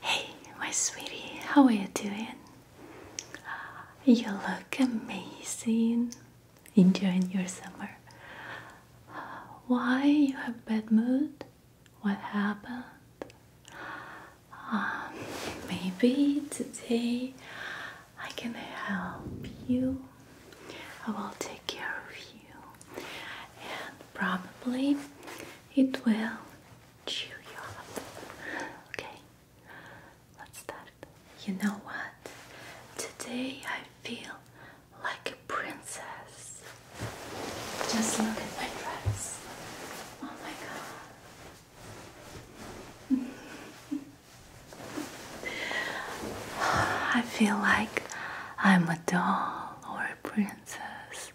Hey, my sweetie, how are you doing? Uh, you look amazing. Enjoying your summer. Why you have bad mood? What happened? Um, maybe today I can help you. I will take care of you, and probably it will cheer you up. Okay, let's start. You know what? Today I feel like a princess. Just look at my dress. Oh my god. I feel like I'm a doll or a princess.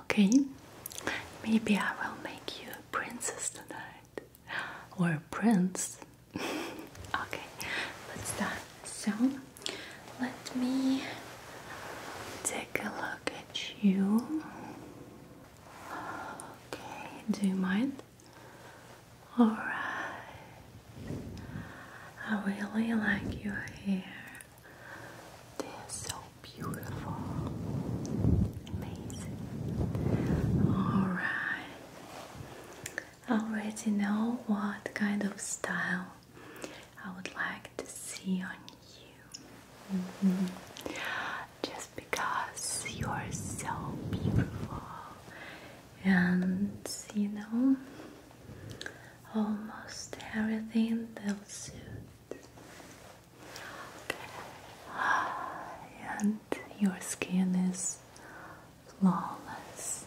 Okay? Maybe I will make you a princess tonight. Or a prince. okay, let's start. So, let me take a look at you. Okay, do you mind? Alright, I really like your hair. They're so beautiful, amazing. Alright, I already know what kind of style I would like to see on you. Mm-hmm. Just because you're so beautiful and you know, almost everything will suit. And your skin is flawless,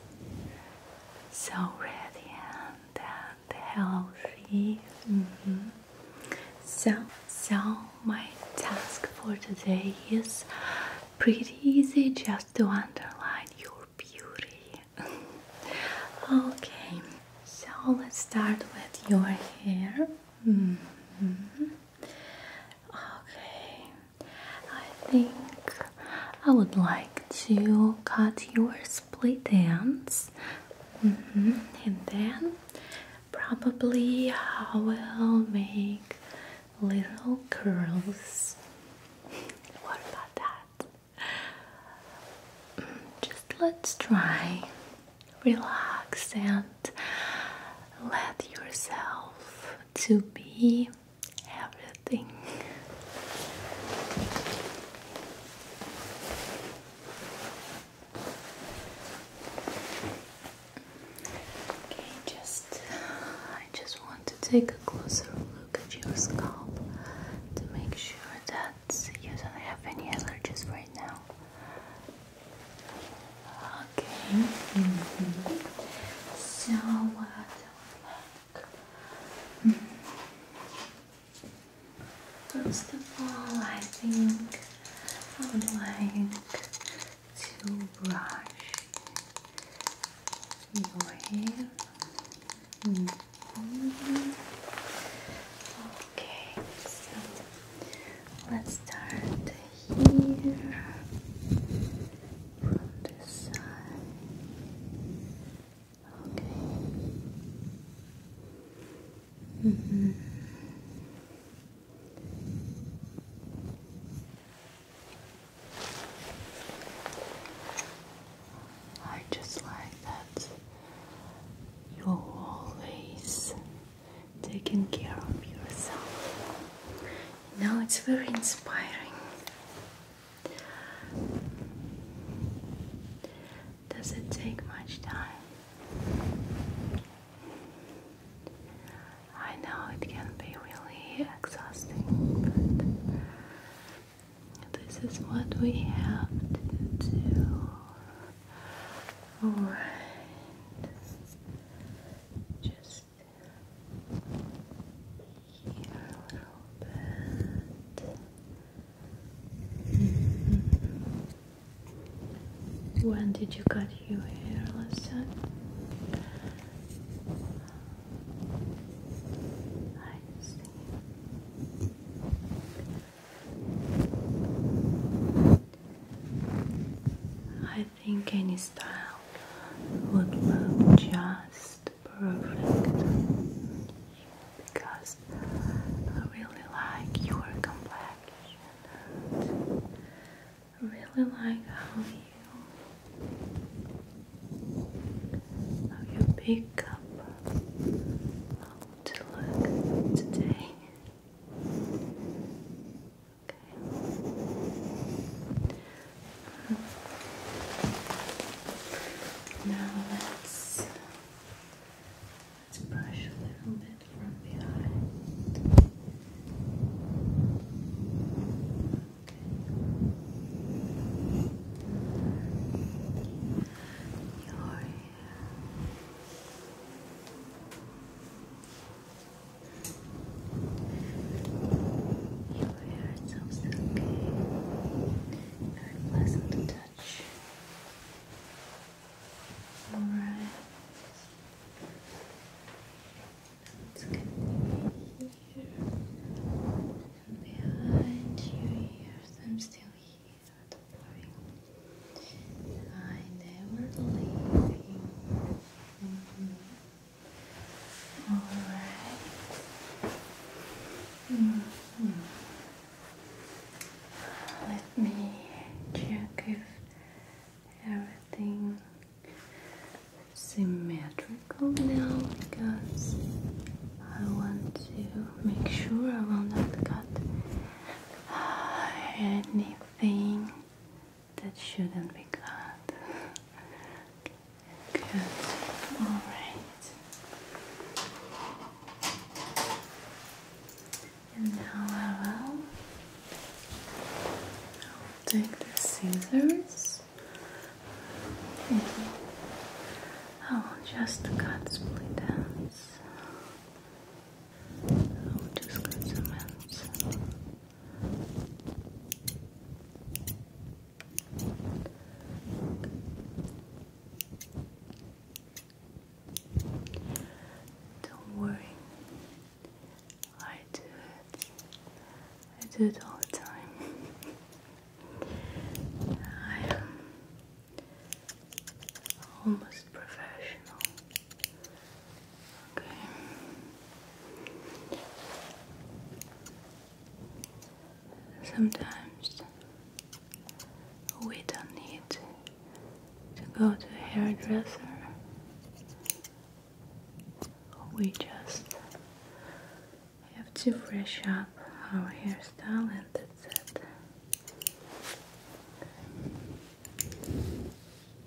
so radiant and healthy. Mm-hmm. So, so my task for today is pretty easy. Just to underline your beauty. okay, so let's start with your hair. Mm-hmm. Okay, I think I would like to cut your split ends. Mm-hmm. And then probably I will make little curls. What about that? Mm, just let's try. Relax and let yourself to be everything. Okay, just I just want to take a closer look at your scalp to make sure that you don't have any allergies right now. Okay. Mm -hmm. So what uh, do I like? First of all, I think I would like to brush your hair. Okay, so let's start here from this side. Okay. Mm -hmm. I just like that you're always taking care of yourself. Now it's very inspiring. Does it take much time? I know it can be really exhausting, but this is what we have to do. Alright, just here a little bit. Mm-hmm. When did you cut your hair last time? I think any style would look just perfect because I really like your complexion I really like how you how you pick up how to look today. Okay. Now let's let's brush a little bit from behind. Your you hair is so silky and pleasant touch. Alright. It's gonna be here and behind your ears. I'm still here, I never leave Alright. Let me check if everything symmetrical now because I want to make sure I will not cut anything that shouldn't be cut. Good. All right. And now I'll take the scissors I will oh, just cut split ends. I will just cut some ends. Don't worry, I do it. I do it all the time. I am almost professional. Okay. Sometimes we don't need to go to a hairdresser we just have to fresh up our hairstyle and that's it.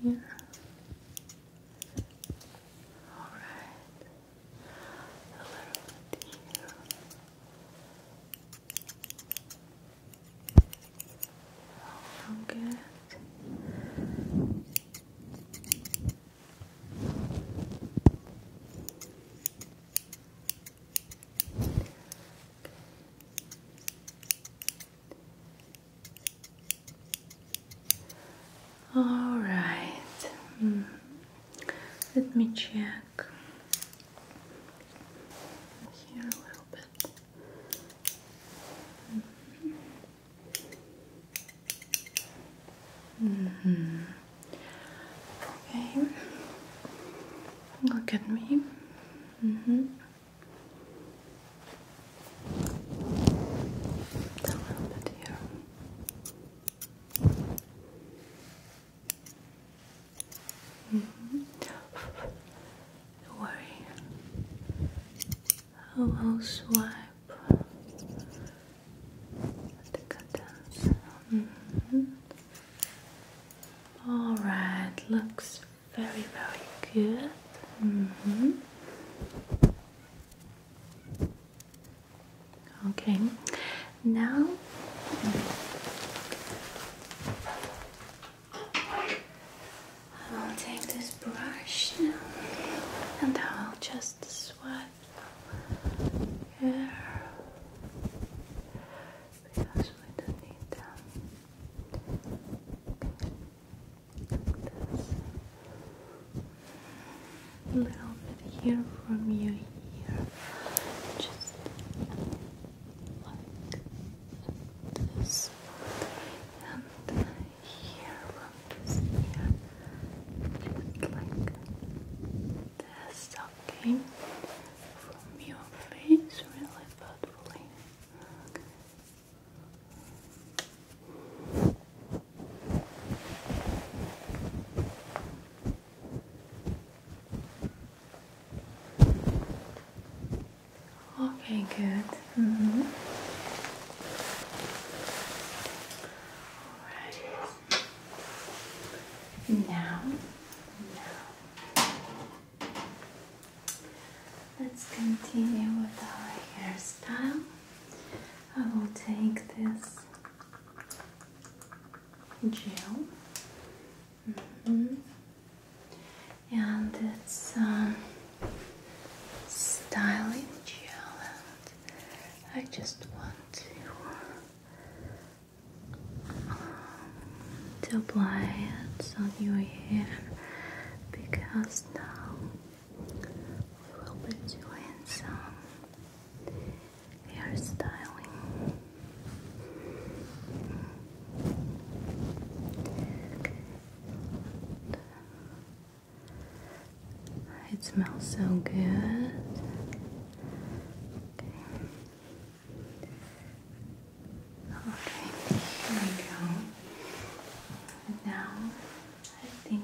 Yeah. Alright. A little all right, hmm. let me check here a little bit. Hmm. Mm -hmm. Okay. Look at me. -hmm. A little bit here. -hmm. Don't worry. I will swipe the curtains. Mm-hmm. All right, looks very, very good. Mm-hmm. Okay, now. I will take this brush now and I'll just this one here because we don't need them. Like this. A little bit here from you here. Just like this. And here, look here, just like this, okay? From your face, really thoughtfully. Okay. good. Mm -hmm. Now, let's continue with our hairstyle. I will take this gel. Mm-hmm. And it's um, styling gel. I just want to, um, apply it on your hair because now we will be doing some hairstyling. Okay. It smells so good. Okay. here we go. now, I think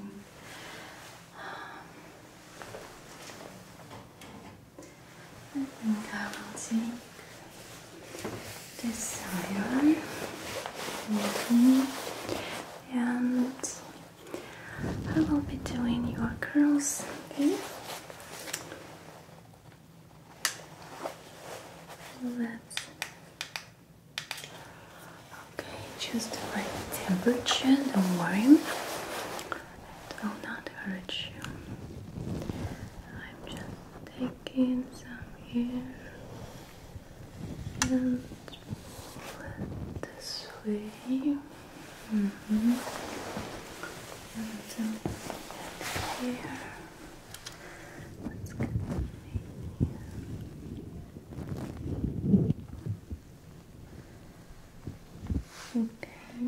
I will take this side and I will be doing your curls, okay? let's okay, choose right temperature, don't worry. It will not hurt you. I'm just taking some here and it this way. Mm -hmm. And here. Let's get Okay.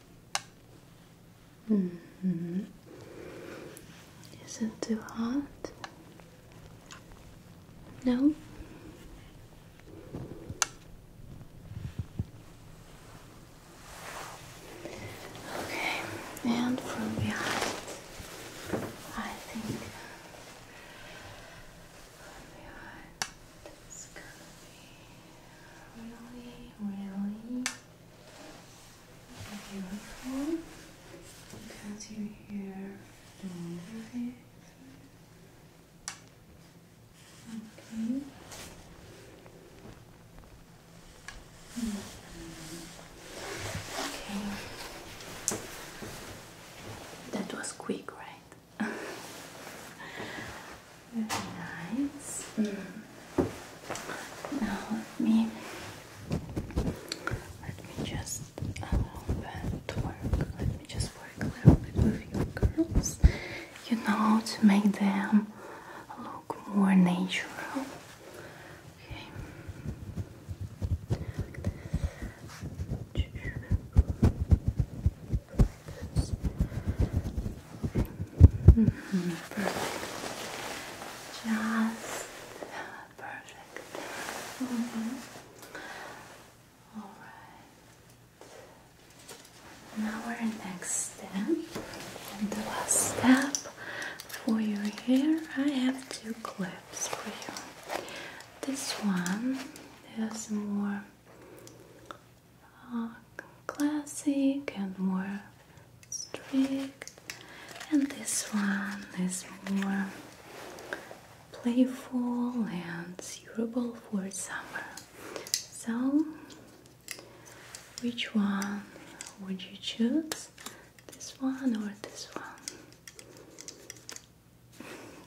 -hmm. Is it too hot? No. Okay, and from behind, I think. From behind. It's gonna be really, really beautiful because you hear the music. Okay. -hmm. Okay. That was quick, right? Very nice. Now let me um, let me just work. Let me just work a little bit with your curls. You know to make them look more natural. Okay perfect. Just perfect. Mm -hmm. All right. Now our next step and the last step for your hair. I have two clips for you. This one is more classic and more strict, and this one is more playful and suitable for summer. So, which one would you choose? This one or this one?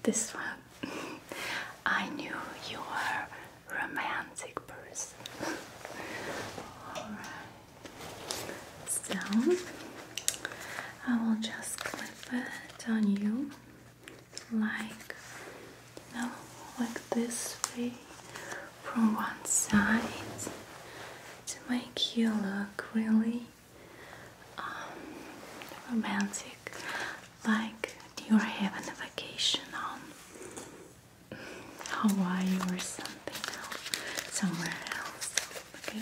This one. I knew you were romantic person. Alright. So I will just clip it on you like you like this way from one side to make you look really um, romantic. Like, you're having a vacation on Hawaii or something else? Somewhere else. Okay.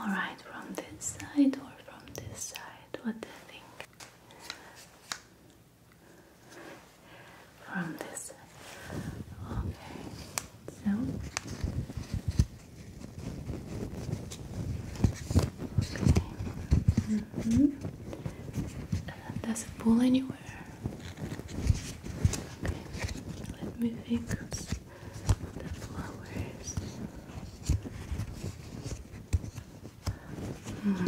Alright, from this side or from this side? What do you think? From this side. Okay. So Okay. Mm -hmm. Does it pull anywhere? Okay, let me fix the flowers. Hmm,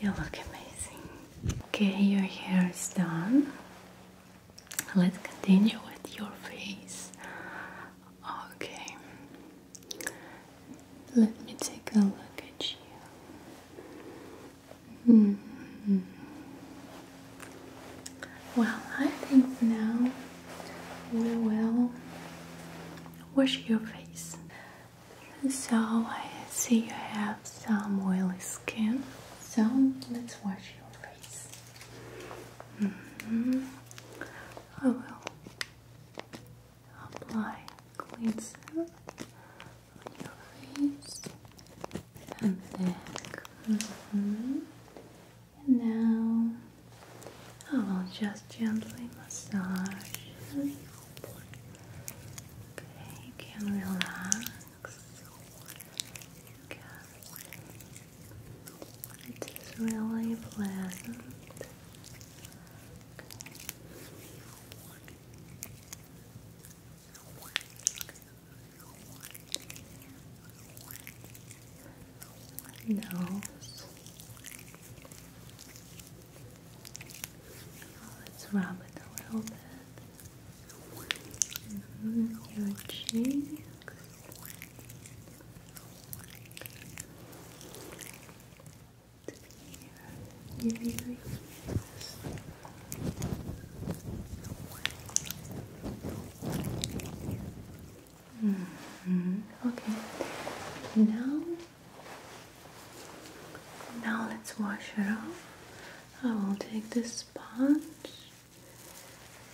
you look amazing. Okay, your hair is done. Let's continue with your face. Okay. Let me take a look at you. -hmm. Well, I think now we will wash your face. So I see you have some oily skin. So let's wash your face. -hmm. I will apply clean serum on your face and neck. Mm -hmm. And now I will just gently massage. Okay, you can relax. It is really pleasant no. Let's rub it a little bit. Your mm-hmm. cheeks. Mm-hmm. Okay. Now, now let's wash it off. I will take this sponge.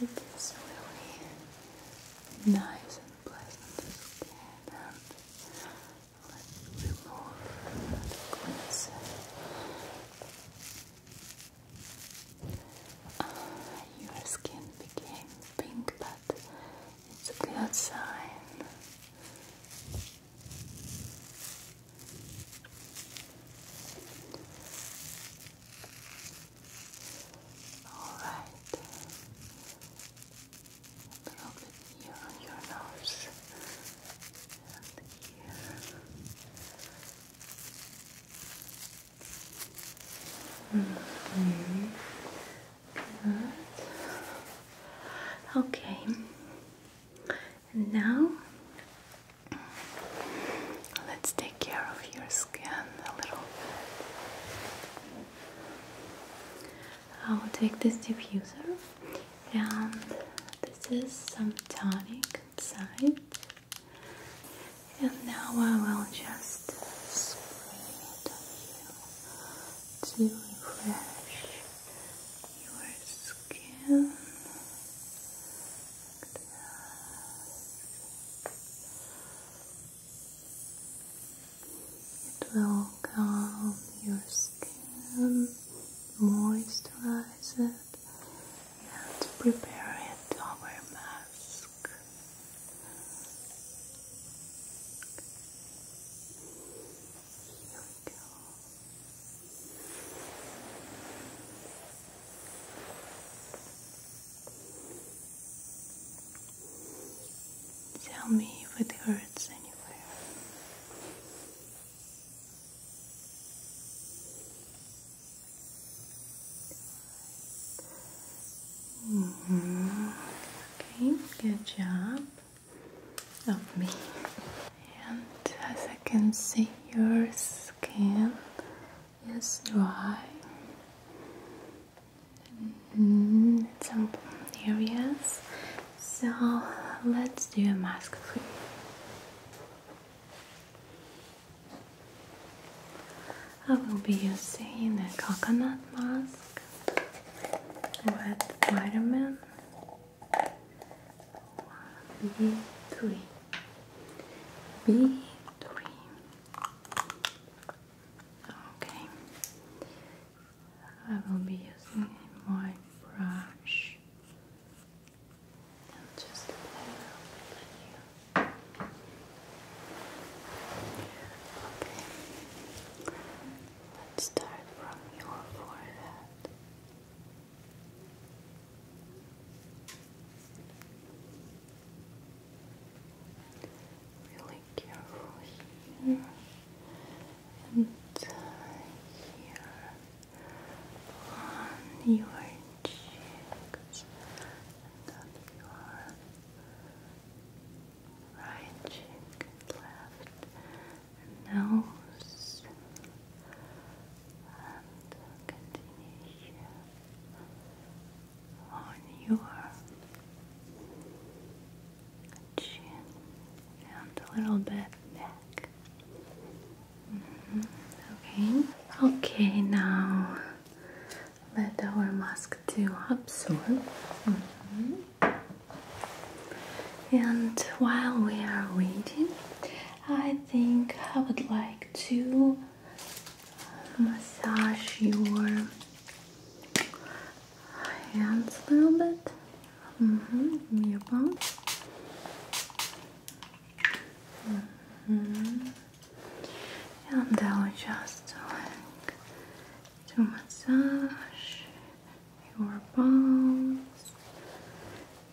It is really nice and pleasant to skin Let's remove the your skin became pink, but it's a good sign. All right here on your nose here. Okay. now let's take care of your skin a little I will take this diffuser and this is some tonic inside and now I will just spray it on you to refresh your skin it will calm your skin, moisturize it, and prepare it over a mask. Here we go. Tell me if it hurts anywhere. Mm-hmm. Okay, good job of me. And as I can see, your skin is dry. Mm, some areas. So let's do a mask for I will be using a coconut mask with vitamin B3. Okay. I will be using my brush just play around with you. Okay, let's start from your forehead. Really careful here and here on your cheeks on your right cheek left nose and continue here on your chin, and a little bit back. Mm-hmm. Okay. Okay. Now let our mask to absorb. Mm-hmm. And while we are waiting, I think I would like to uh, massage your hands a little bit. Mm hmm. Your bone. Mm -hmm. And I will just like to massage your bones,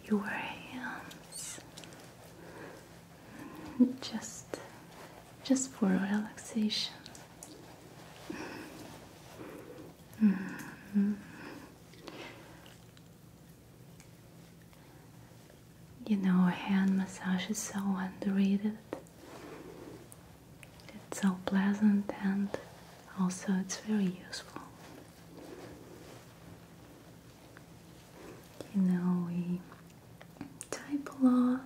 your hands, just, just for relaxation. Mm-hmm. You know, hand massage is so underrated. It's so pleasant and also it's very useful. You know, we type a lot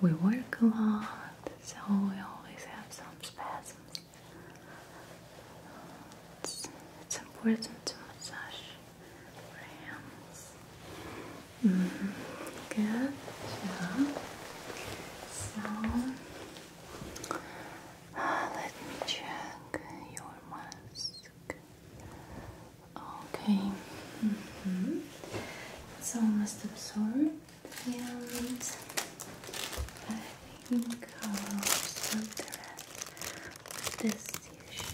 we work a lot, so we always have some spasms. It's, important to massage your hands. -hmm. Good job. So, let me check your mask. Okay. -hmm. It's almost absorbed and I think I'll also the rest this issue.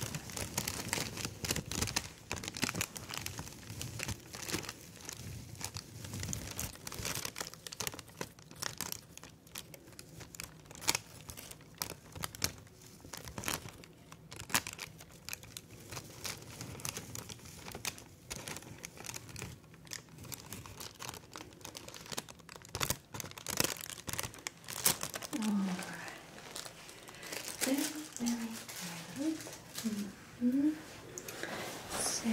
All right. Very, good. -hmm. So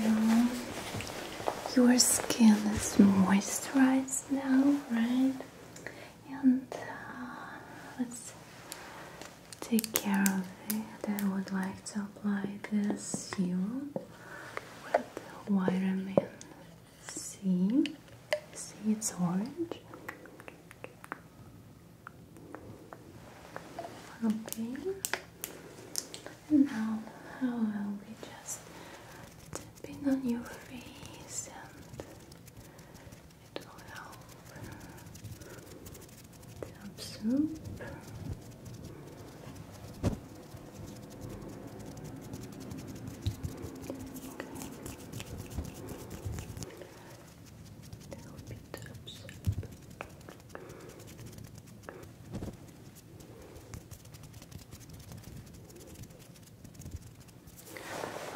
your skin is moisturized now, right? And uh, let's take care of it, I would like to apply this serum with vitamin C. See, it's orange. Okay, now I will be just tapping on your face and it will help tub soap. Okay. That'll be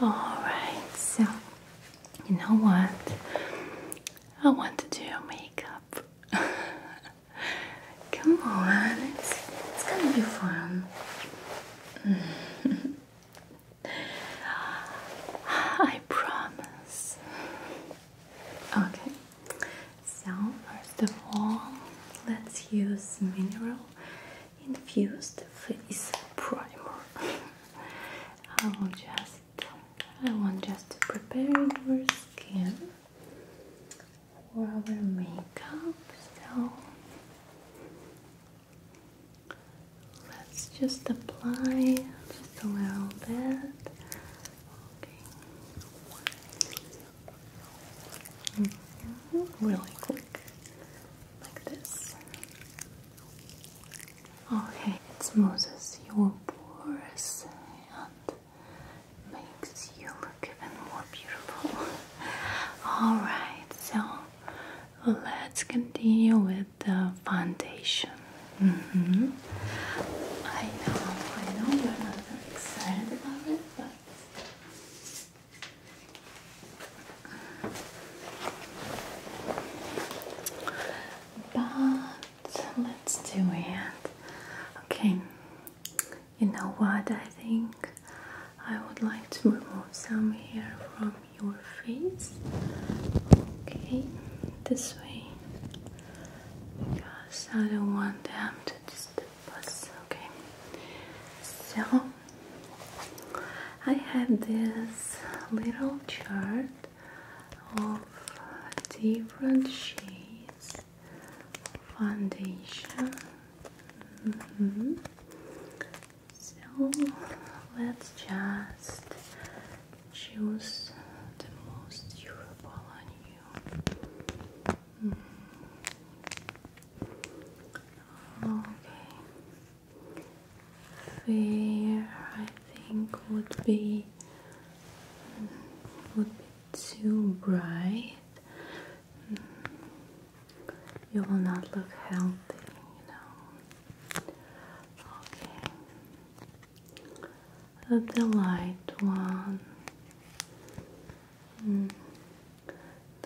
Alright, so you know what? I want to do your makeup. Come on, it's, it's gonna be fun. I promise. Okay, so first of all, let's use mineral infused face primer. I will just I want just to prepare your skin for our makeup, so let's just apply just a little bit. Mm-hmm. Really quick, like this. Okay, it smoothes your pores and makes you look even more beautiful. Alright, so let's continue with the foundation. Mm-hmm. I know, I know you're not very excited about it, but but let's do it. Okay, you know what? I think I would like to remove some hair from your face. Okay, this way because I don't want them to disturb us. Okay, so I have this little chart of different shades foundation. Mm-hmm. So let's just choose the most durable on you. Mm-hmm. Okay. Fair, I think, would be would be too bright, mm. you will not look healthy, you know. Okay, the light one. Mm.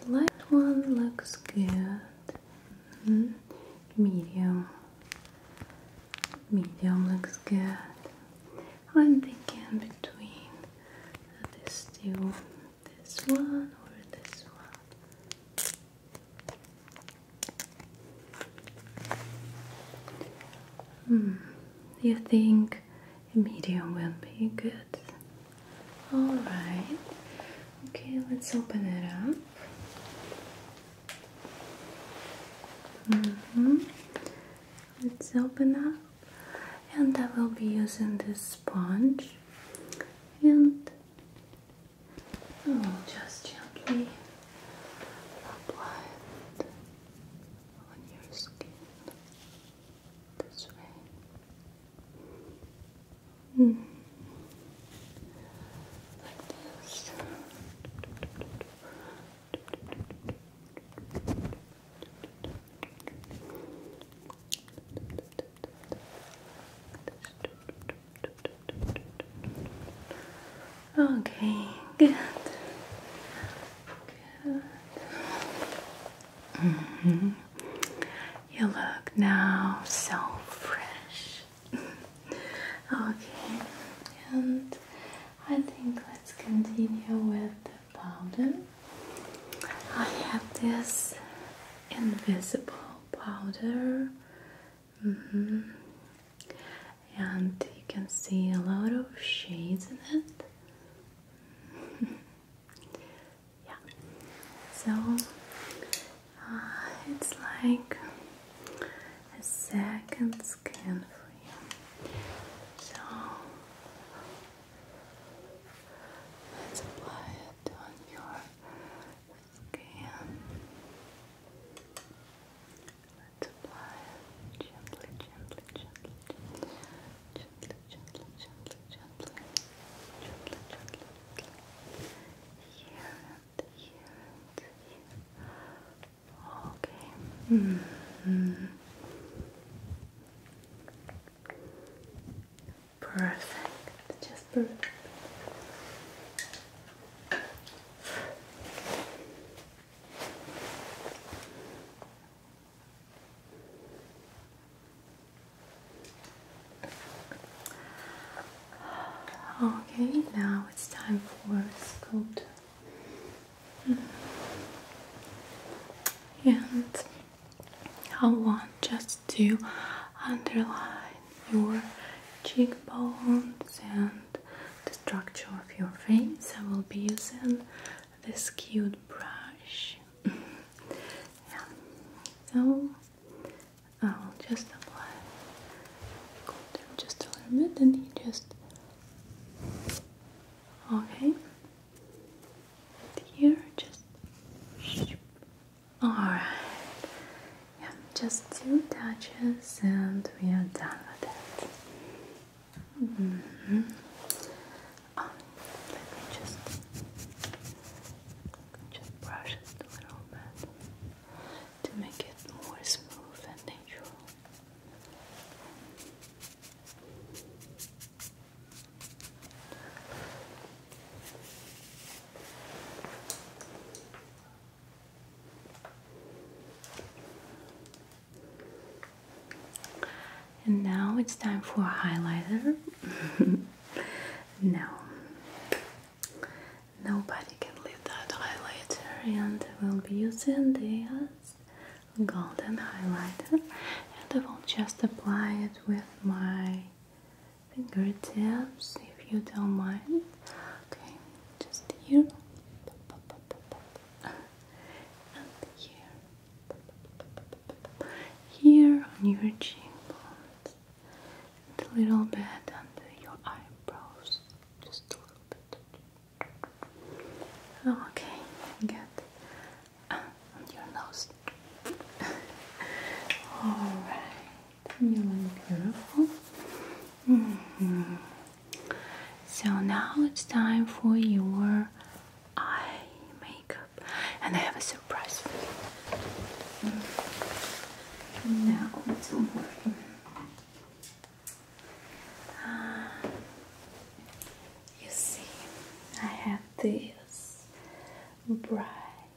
The light one looks good. Mm-hmm. Medium medium looks good. I'm thinking between this two, this one, or this one. Hmm, you think medium will be good? Alright, okay, let's open it up. Mm-hmm. Let's open up, and I will be using this sponge, and I will just gently apply it on your skin this way. Mm-hmm. Like this. Okay, good. -hmm. You look now so fresh. okay, and I think let's continue with the powder. I have this invisible powder. Mm-hmm. And you can see a lot of shades in it. yeah. So uh, it's like a second skin for you. So let's apply it on your skin. Let's apply it gently, gently, gently, gently, gently, gently, gently, gently, gently. Here and here and here. Okay. Perfect. Just perfect. Okay, now it's time for sculpt and I want just to underline your cheekbones and the structure of your face. I will be using this cute brush. yeah. So I'll just apply just a little bit and you just Okay. here, just. Alright. just two touches and we are done with that. Mm-hmm. Oh, let me just just brush it a little bit to make it more smooth and natural. And now it's time for highlighter. now, Nobody can leave that highlighter, and we'll be using this golden highlighter, and I will just apply it with my fingertips, if you don't mind. Okay, just here, and here, here on your cheekbones, and a little bit under your eyebrows, just a little bit. Oh, okay, good. Ah, on your nose. Alright, you look beautiful. Mm -hmm. So now it's time for your eye makeup, and I have a surprise for you. Mm. Now, don't worry. Uh, you see, I have this bright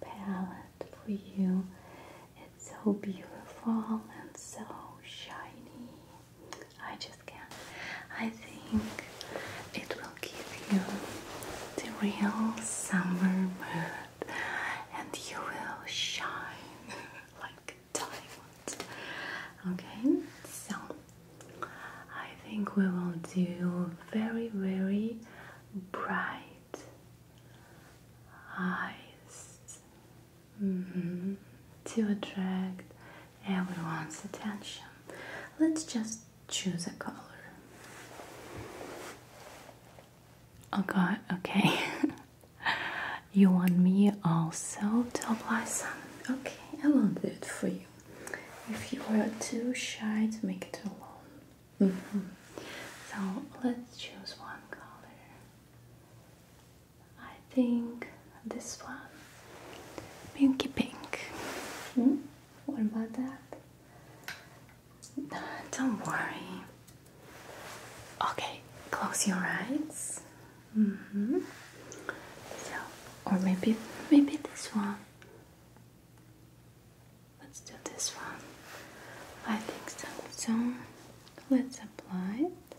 palette for you. It's so beautiful and so shiny. I just can't. I think it will give you the real summer mood and you will shine like tiny Okay, so I think we will do very, very bright eyes mm-hmm. to attract everyone's attention. Let's just choose a color. Okay, okay. You want me also to apply some? Okay, I will do it for you. If you are too shy to make it alone. Mm-hmm. So let's choose one color. I think this one, pinky pink. Hmm? What about that? Don't worry, Okay, close your eyes. Mm-hmm. or maybe, maybe this one. Let's do this one. I think so. So, let's apply it.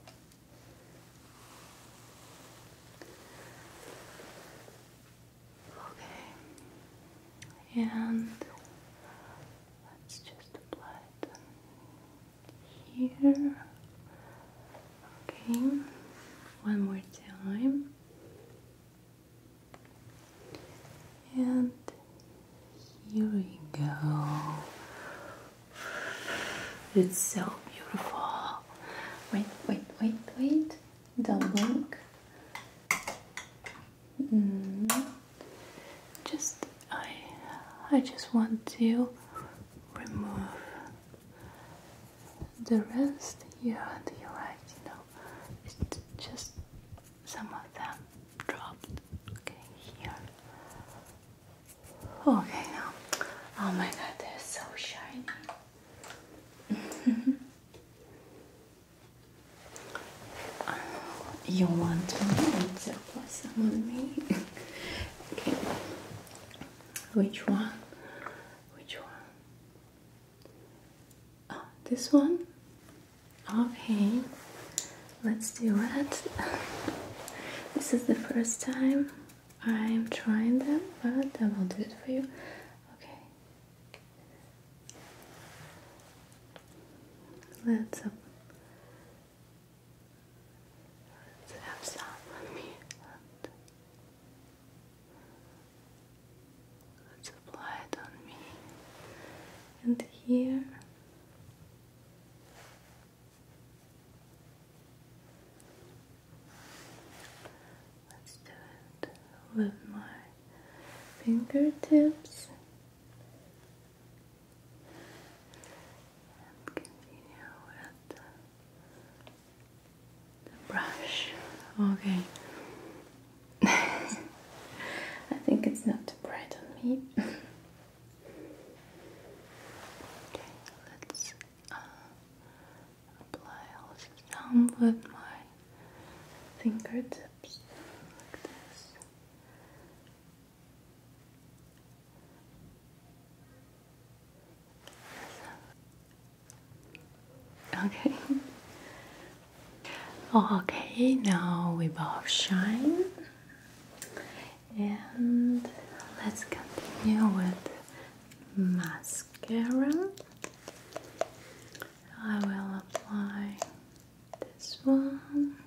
Okay, and let's just apply it here. Okay, one more time, and here we go. It's so beautiful. Wait, wait, wait, wait. Don't blink. Mm. Mm-hmm. Just I I just want to remove the rest here and the right, you know. It's just some of them dropped. Okay, here. Okay now. Oh my god, they're so shiny. You want to which one? Which one? Oh, this one? Okay. Let's do that. this is the first time I'm trying them, but I will do it for you. Okay. Let's Let's have some on me. Let's apply it on me. And here. Let's do it with my fingertips and continue with the brush. Okay. I think it's not too bright on me. okay, let's uh, apply also some with my fingertips like this. Okay. Okay, now we both shine, and let's continue with mascara. I will apply this one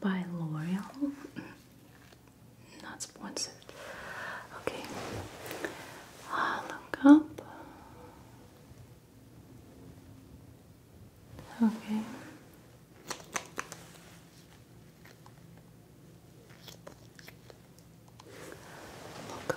by L'Oreal. Not sponsored. Okay. look up. Okay. Look up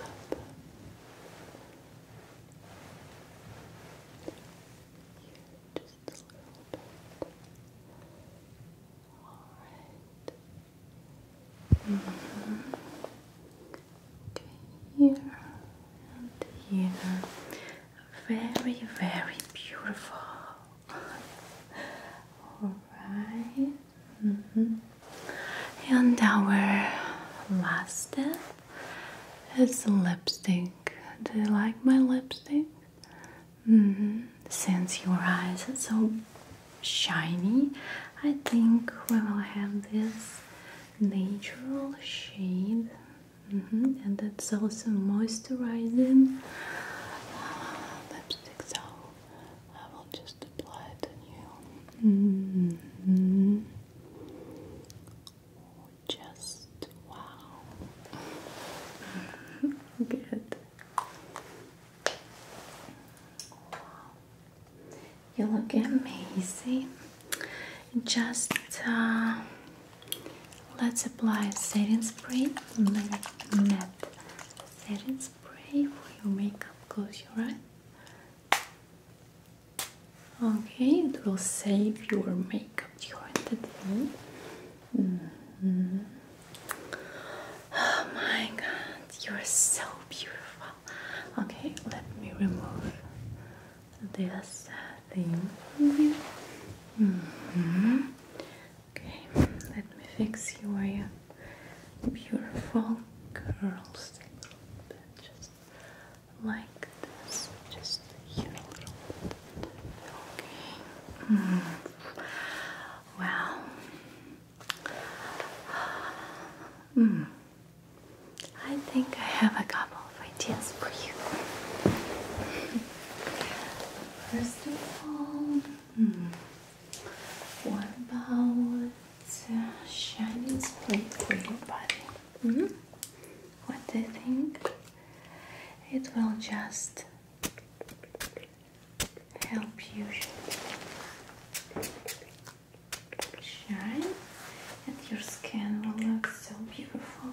here and here. Very, very beautiful. Alright. Mm-hmm. And our last step it's lipstick. Do you like my lipstick? Mm Since your eyes are so shiny, I think we will have this natural shade, mm-hmm. and it's also moisturizing lipstick. So I will just apply it on you. Mm-hmm. Just wow. Good. Wow. You look amazing. Just uh, let's apply setting spray, matte setting spray for your makeup. Close your eyes. Okay, it will save your makeup during the day. my god, you're so beautiful. Okay, let me remove this thing mm-hmm. Okay, let me fix your beautiful curls like this, just a little bit. Okay. Mm hmm. I think I have a couple of ideas for you. First of all, hmm, what about a uh, shining split for your body? Mm-hmm. What do you think? It will just help you shine, and your skin will look so beautiful.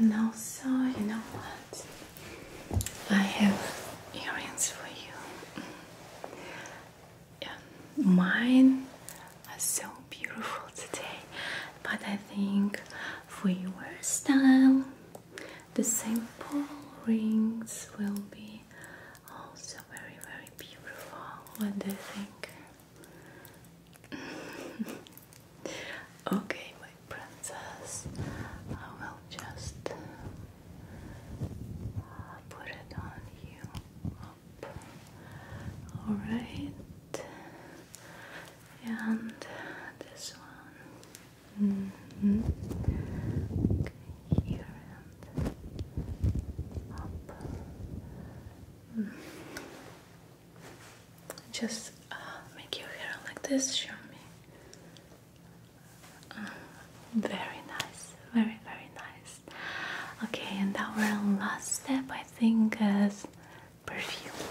And also, you know what? I have earrings for you mine are so beautiful today, but I think for your style, the simple rings will be also very, very beautiful. What do you think? okay, my princess, I will just uh, put it on you All right, and this one mm-hmm. here and up. Mm. Just uh, make your hair like this. Show me. Ah, very nice, very, very nice. Okay, and our last step, I think, is perfume.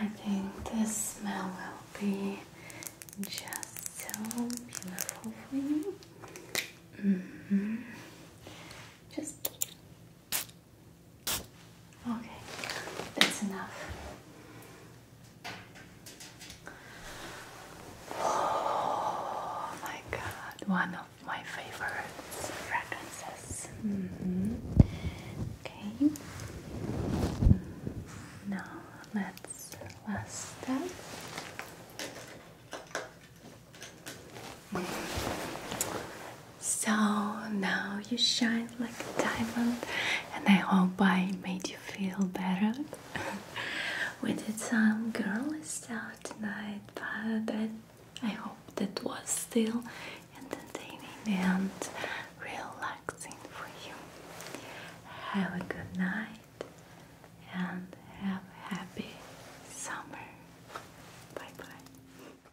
I think this smell will be just so beautiful for you. Mm-hmm. Just Okay, that's enough. Oh my god, one of my favorite fragrances. Mm-hmm. Okay, mm, now let's last step. So now you shine like a diamond, and I hope I made you feel better. we did some girly stuff tonight, but I hope that was still entertaining and relaxing for you. Have a good night and have a happy summer. Bye bye.